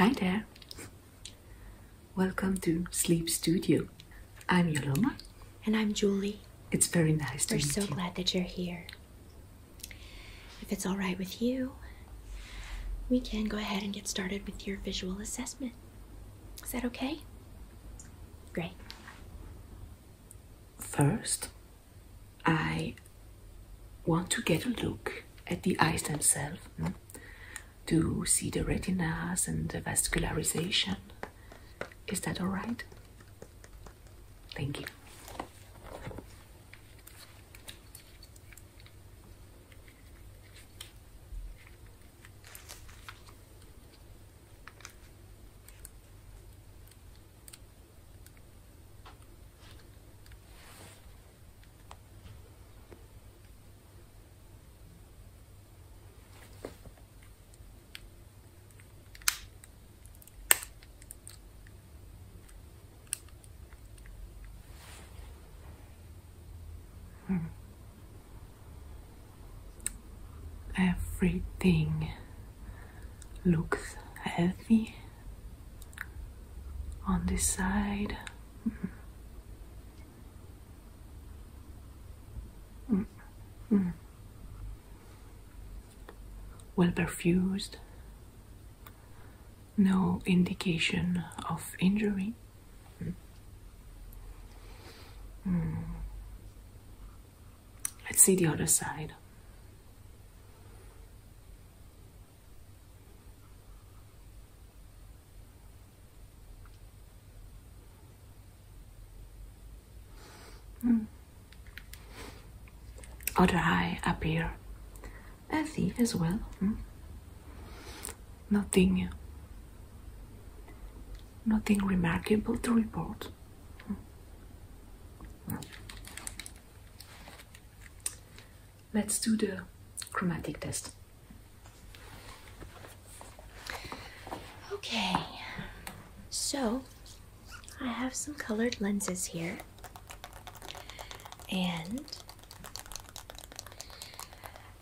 Hi there. Welcome to Sleep Studio. I'm Yoloma. And I'm Julie. It's very nice to meet you. We're so glad that you're here. If it's all right with you, we can go ahead and get started with your visual assessment. Is that okay? Great. First, I want to get a look at the eyes themselves hmm, to see the retinas and the vascularization. Is that all right? Thank you. Hmm. Everything looks healthy on this side. Mm -hmm. Well perfused, no indication of injury. Let's see the other side. Mm. Other eye appear healthy as well. Hmm? Nothing, nothing remarkable to report. Let's do the chromatic test. Okay, so I have some colored lenses here, and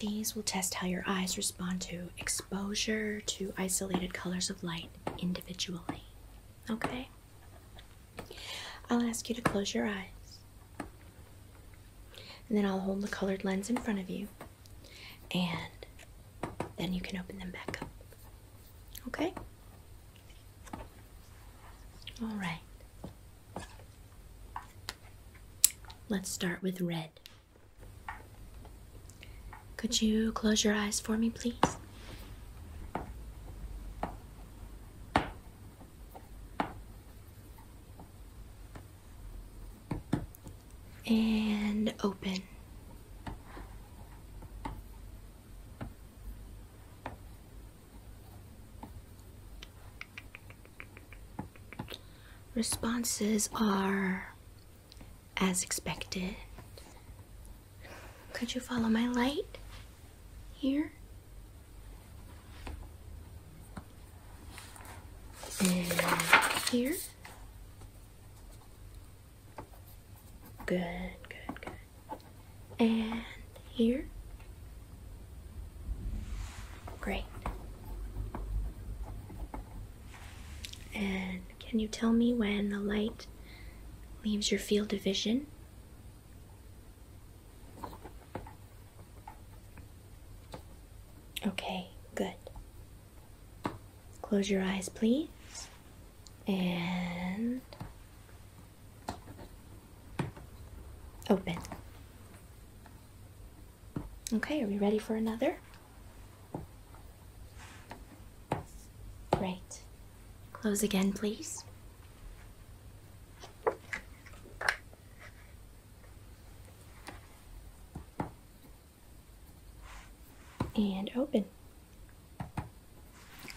these will test how your eyes respond to exposure to isolated colors of light individually. Okay? I'll ask you to close your eyes. And then I'll hold the colored lens in front of you. And then you can open them back up. Okay? All right. Let's start with red. Could you close your eyes for me, please? and open. Responses are as expected. Could you follow my light here? And here? Good, good, good. And here? Great. And can you tell me when the light leaves your field of vision? Okay, good. Close your eyes, please. And open. Okay, are we ready for another? Great. Close again, please and open.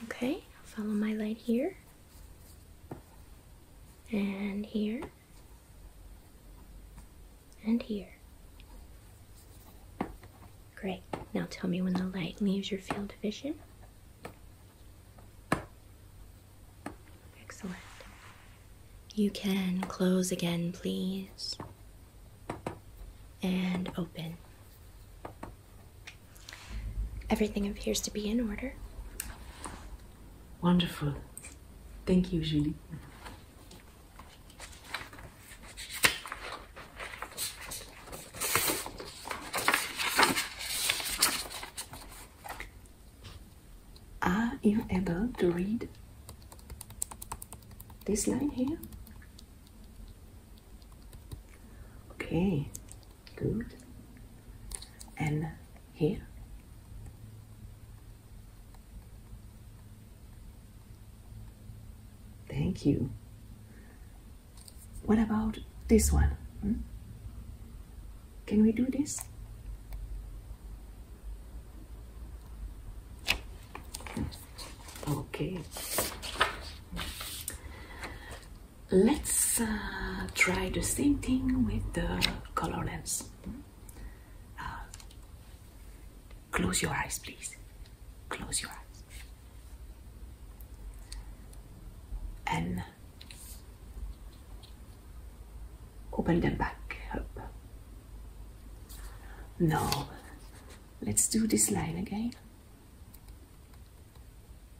Okay, follow my light here and here and here. Great. Now tell me when the light leaves your field of vision. Excellent. You can close again, please. And open. Everything appears to be in order. Wonderful. Thank you, Julie. Are you able to read this line here? Okay, good. And here? Thank you. What about this one? Hmm? Can we do this? Okay. Let's uh, try the same thing with the color lens. Uh, close your eyes, please. Close your eyes and open them back up. Now, let's do this line again.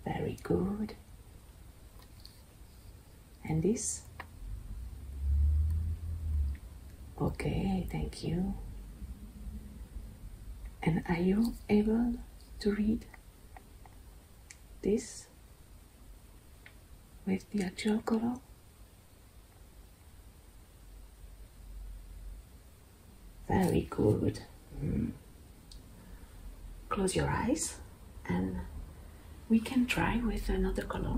Very good. And this? Okay, thank you. And are you able to read? this with the actual color very good mm. close your eyes and we can try with another color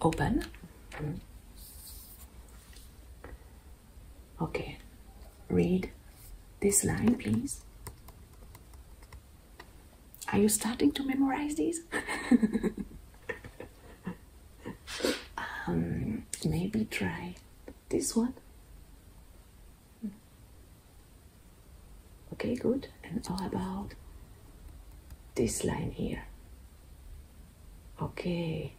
open Okay, read this line, please. Are you starting to memorize these? Um, maybe try this one. Okay, good. And how about this line here? Okay.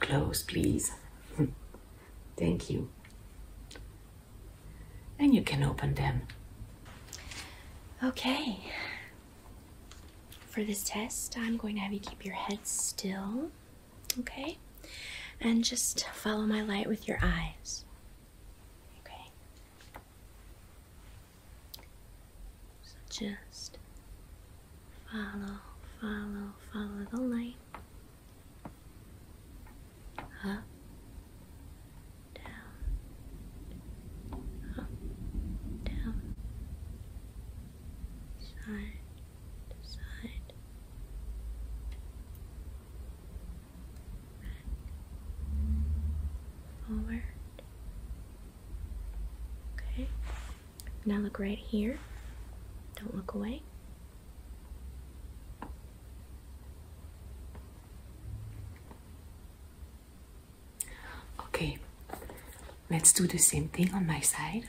Close, please. Hmm. Thank you. And you can open them. Okay. For this test, I'm going to have you keep your head still, okay? And just follow my light with your eyes. Okay. So just follow, follow, follow the light. Up, down, up, down, side side, back, forward, Okay. Now look right here. Don't look away. Okay. Let's do the same thing on my side.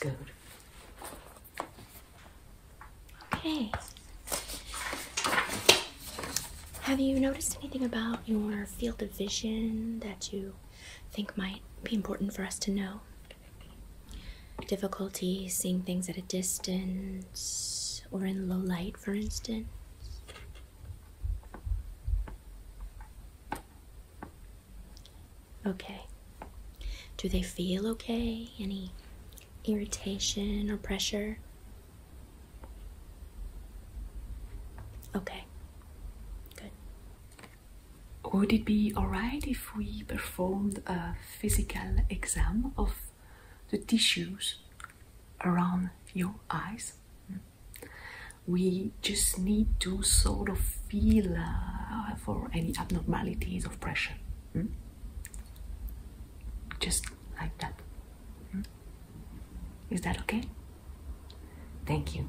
Good. Okay. Have you noticed anything about your field of vision that you think might be important for us to know Difficulty seeing things at a distance or in low light, for instance. Okay. Do they feel okay? Any irritation or pressure? Okay. Good. Would it be alright if we performed a physical exam of the tissues around your eyes. We just need to sort of feel uh, for any abnormalities of pressure. Hmm? Just like that. Hmm? Is that okay? Thank you.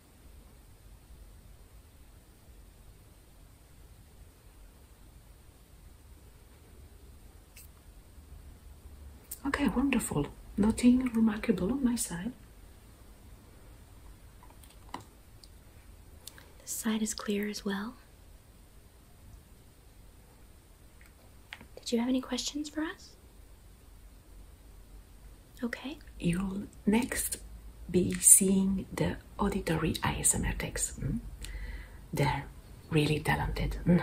Okay, wonderful. Nothing remarkable on my side. This side is clear as well. Did you have any questions for us? Okay. You'll next be seeing the auditory ASMR techs. Hmm? They're really talented. Hmm?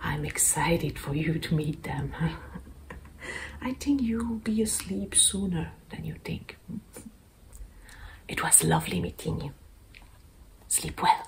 I'm excited for you to meet them. I think you'll be asleep sooner than you think. Hmm? It was lovely meeting you. Sleep well.